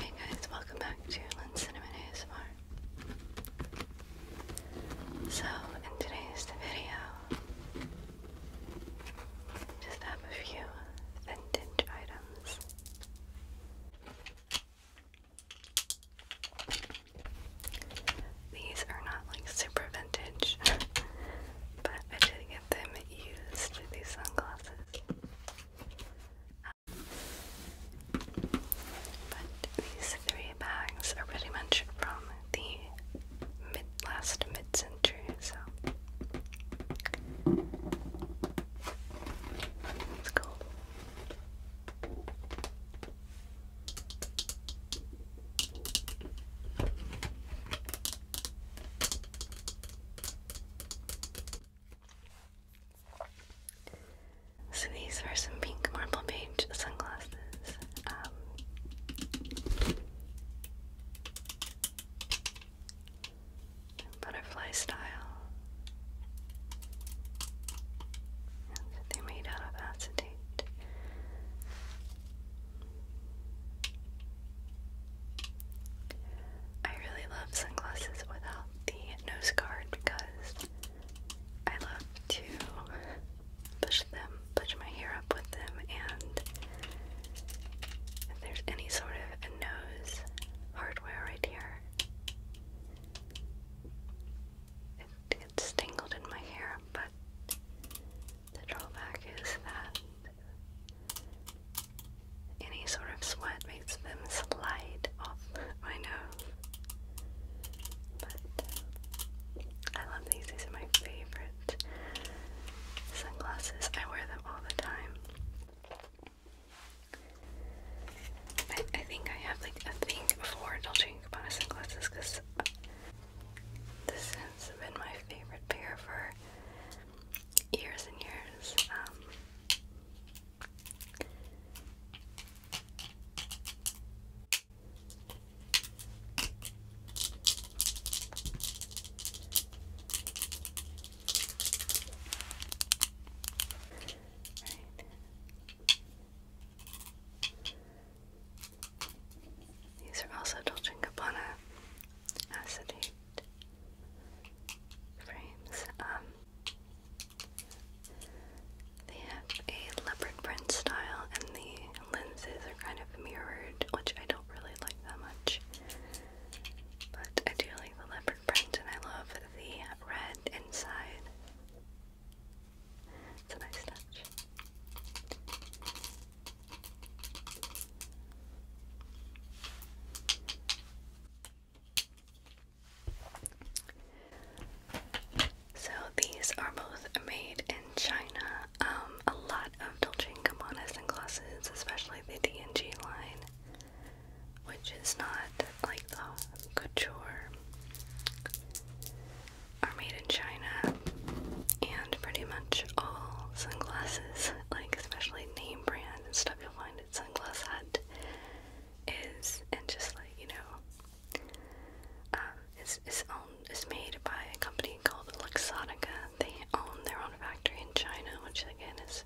Hey guys, welcome back to Lynn Cinnamon ASMR. So, in today's video, just have a few vintage items. These are not like super vintage, but I did get them used, these sunglasses. Um, but these three bags are pretty much from the mid last mid century, so it's cool. So these are some pink marble beige sunglasses. Um, butterfly style. they're made out of acetate. I really love sunglasses without the nose guard because I love to push them, push my hair up with them, and if there's any sort of a nose hardware right here, it gets tangled in my hair, but the drawback is that any sort of sweat makes them slide off my nose. But uh, I love these. These are my favorite sunglasses. I wear them all the time. I, think I have like a thing for Dolce & Gabbana sunglasses because this has been my favorite pair for years and years. Um, these are also touching upon frames. Um, they have a leopard print style, and the lenses are kind of mirrored, which I don't really like that much. But I do like the leopard print, and I love the red inside. It's a nice touch. So these are both made in China. Um, a lot of Dolce & Gabbana's and especially the D&G line, which is not like the couture, are made in China. And pretty much all sunglasses, like especially name brand and stuff you'll find at Sunglass Hut is, and just like you know, um, is is owned is made by a company called Luxottica. They own their own factory in China, which again is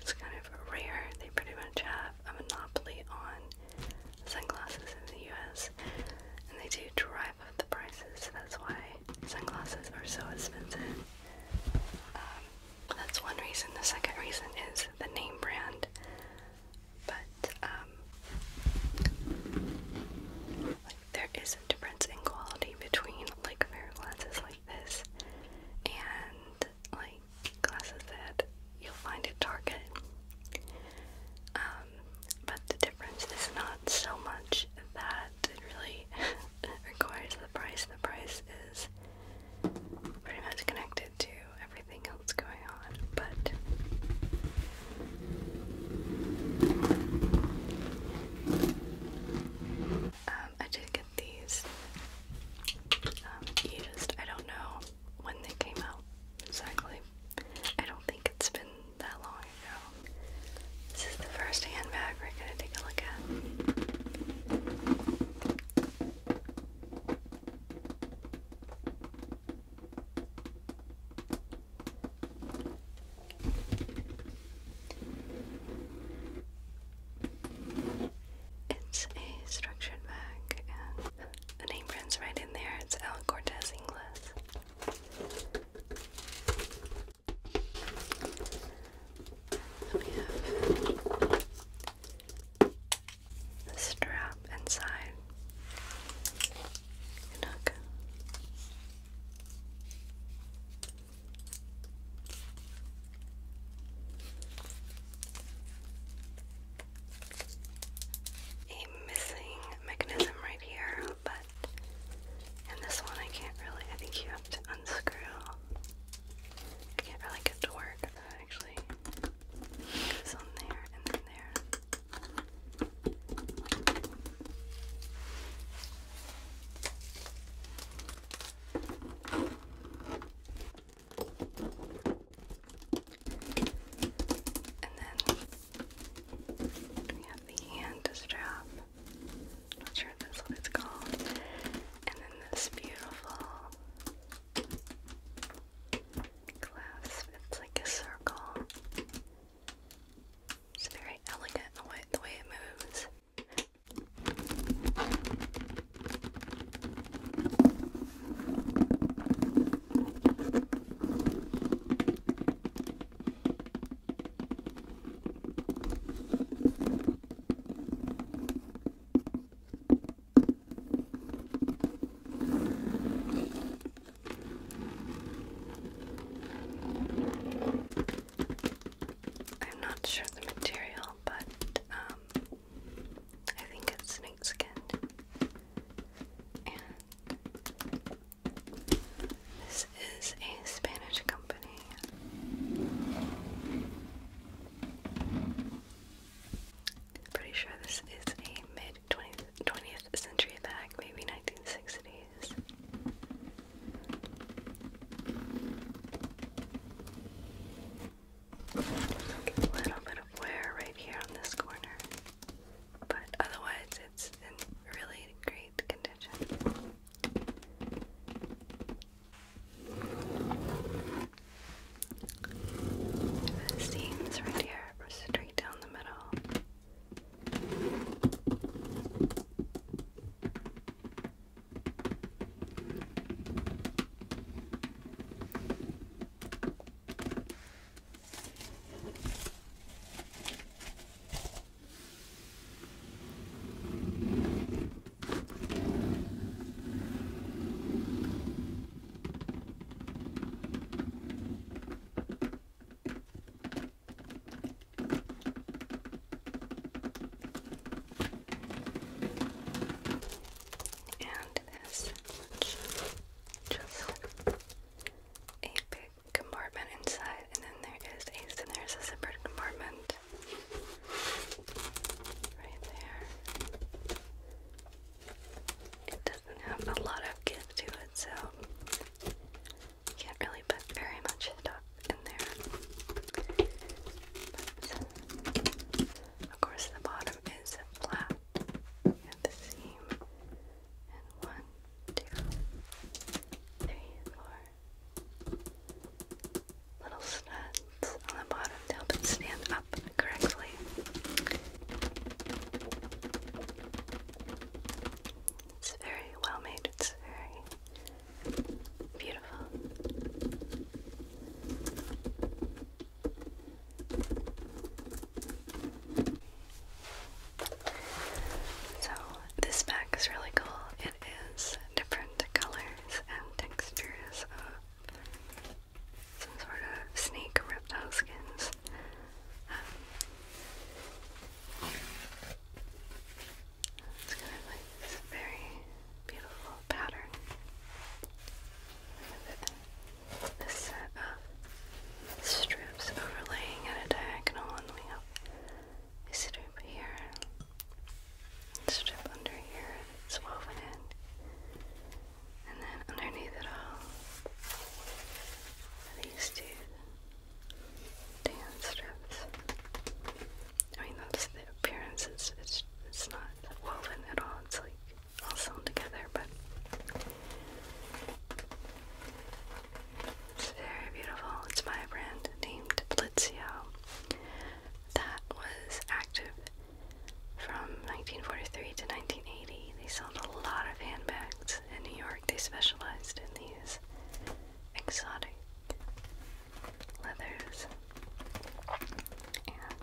it's kind of rare. They pretty much have a monopoly on sunglasses in the U.S. and they do drive up the prices. So that's why sunglasses are so expensive. Um, that's one reason. The second reason is the name brand. But um, there is a difference in quality between like pair of like this and like glasses that you'll find at Target. Um, but the difference is not so much that it really requires the price. The price is pretty much connected to everything else going on, but um, I did get these. Um, I don't know when they came out exactly. I don't think it's been that long ago. This is the first handbag we're gonna take a look at. It's a structured bag, and the name brand's right in there. It's Alan Cortez English we have a strap inside and A missing mechanism right here, but in this one I can't really. I think you have to unscrew I can't really get to work actually goes there and then there. And then we have the hand strap. Not sure if that's what it's called. And then this beautiful glass It's like a circle. It's very elegant the way the way it moves. I'm not sure the material, but um, I think it's snake this is a Spanish company company. Pretty sure this is a mid 20th, century bag, maybe 1960s. A little bit of wear right here on this corner, but otherwise it's in really great condition. The seams right here are straight down the middle. And this much. Just a big compartment inside, and then there is a, there's a separate compartment right there. It doesn't have a lot of give to it, so you can't really put very much stuff in there. of course, the bottom is flat at the seam. And one, two, three, four, little studs on the bottom to help it stand up correctly. It's very well made, it's very beautiful. So, this pack is really cool. It is different colors and textures of some sort of snake reptile skins. Um, it's kind of like this very beautiful pattern. This set of strips overlaying at a diagonal, and we have a strip here, a strip under here, it's woven in, and then underneath it all, these two tan strips. I mean, that's the appearance, it's, it's, it's not woven at all, it's like all sewn together, but it's very beautiful. It's my brand named Blitzio that was active from 1943 to 1980. They sold a lot of handbags in New York. They specialized in these exotic leathers. And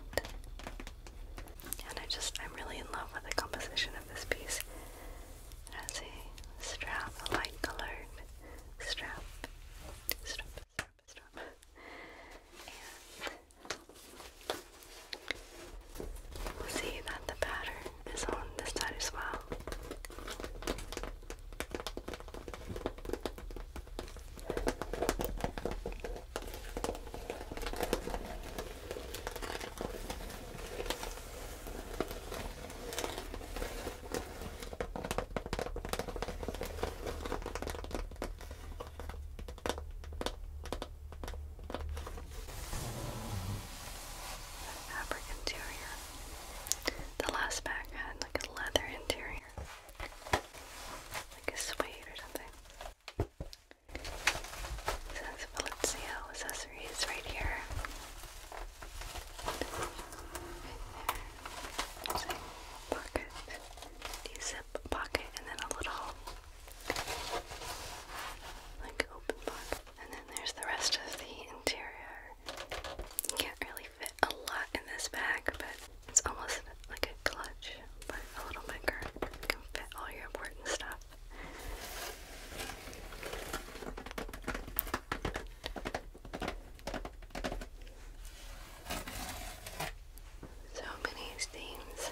and I just I'm really in love with the composition of this piece. It a strap, a light colored strap stop, stop, see that the pattern is on this side as well fabric interior. The last bag had like a leather interior, like a suede or something. It says Valencia accessories right here there. pocket, zip pocket, and then a little like open pocket. And then there's the rest of the interior. You can't really fit a lot in this bag, but it's almost like a clutch, but a little bigger. You can fit all your important stuff. So many stains.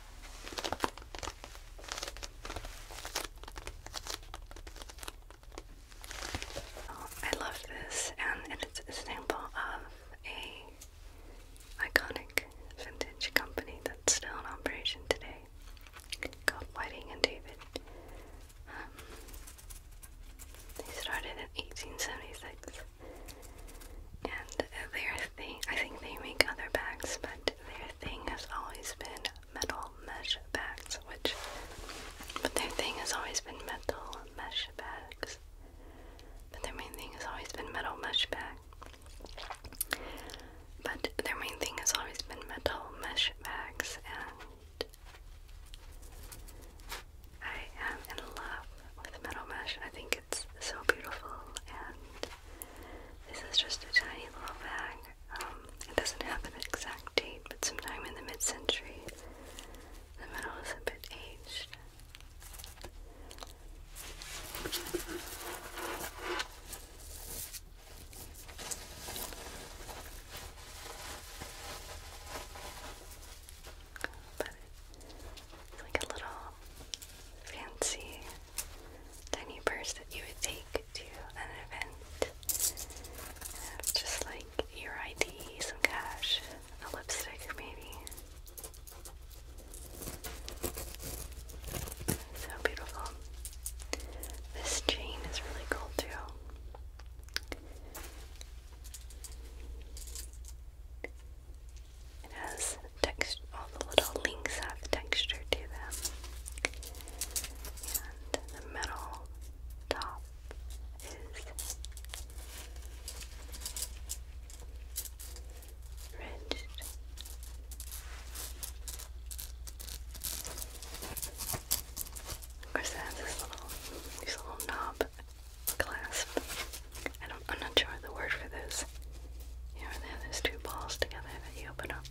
I love this, and, it's a sample of a iconic vintage company that's still in operation today, called Whiting and David. Um, they started in 1876, and their thing—I think they make other bags, but their thing has always been metal mesh bags, which, but their thing has always been metal mesh bags. But their main thing has always been metal mesh bag. But their main thing has always been metal mesh bags, and I am in love with metal mesh. I think it's so beautiful, and this is just a tiny little bag um, it doesn't have an exact date, but sometime in the mid century, the metal is a bit aged. But it's like a little fancy tiny purse that you would take to an event. just like your ID, some cash, a lipstick maybe. So beautiful. This chain is really cool too. It has text, all the little links have texture to them. And the metal top is ridged. Of course, it has this little, this little knob clasp. I don't, I'm not sure the word for this. You know, they have those two balls together that you open up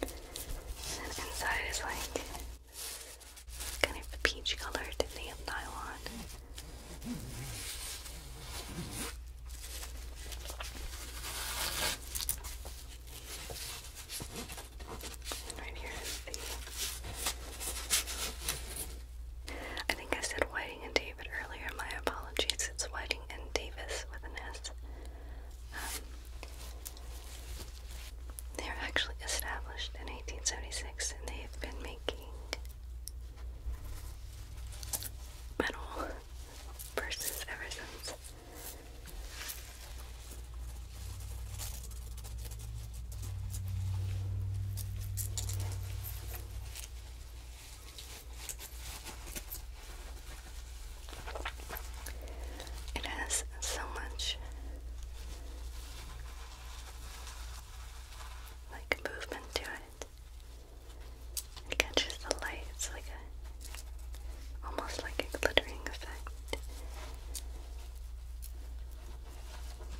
inside is like kind of peach colored neon nylon. And right here is I think I said Whiting and David earlier. My apologies. It's Whiting and Davis with an S they are actually established in 1876 and they have been making metal purses ever since. It has so much like movement to it. It catches the light. It's like a almost like a glittering effect. It's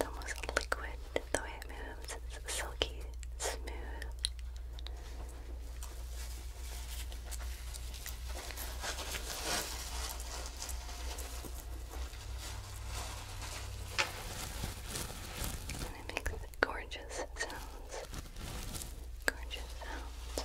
almost liquid the way it moves. It's silky, smooth. And it makes gorgeous sounds. Gorgeous sounds.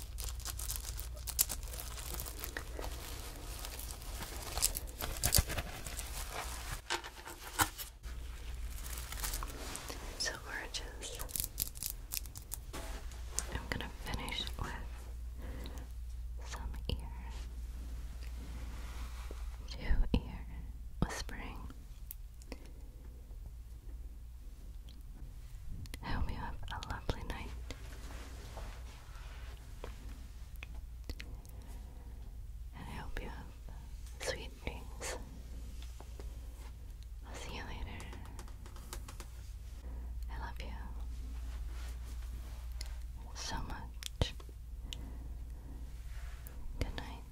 So gorgeous. I'm going to finish with some ear to ear whispering. I hope you have a lovely night. And I hope you have sweet dreams. I'll see you later. I love you so much. Good night.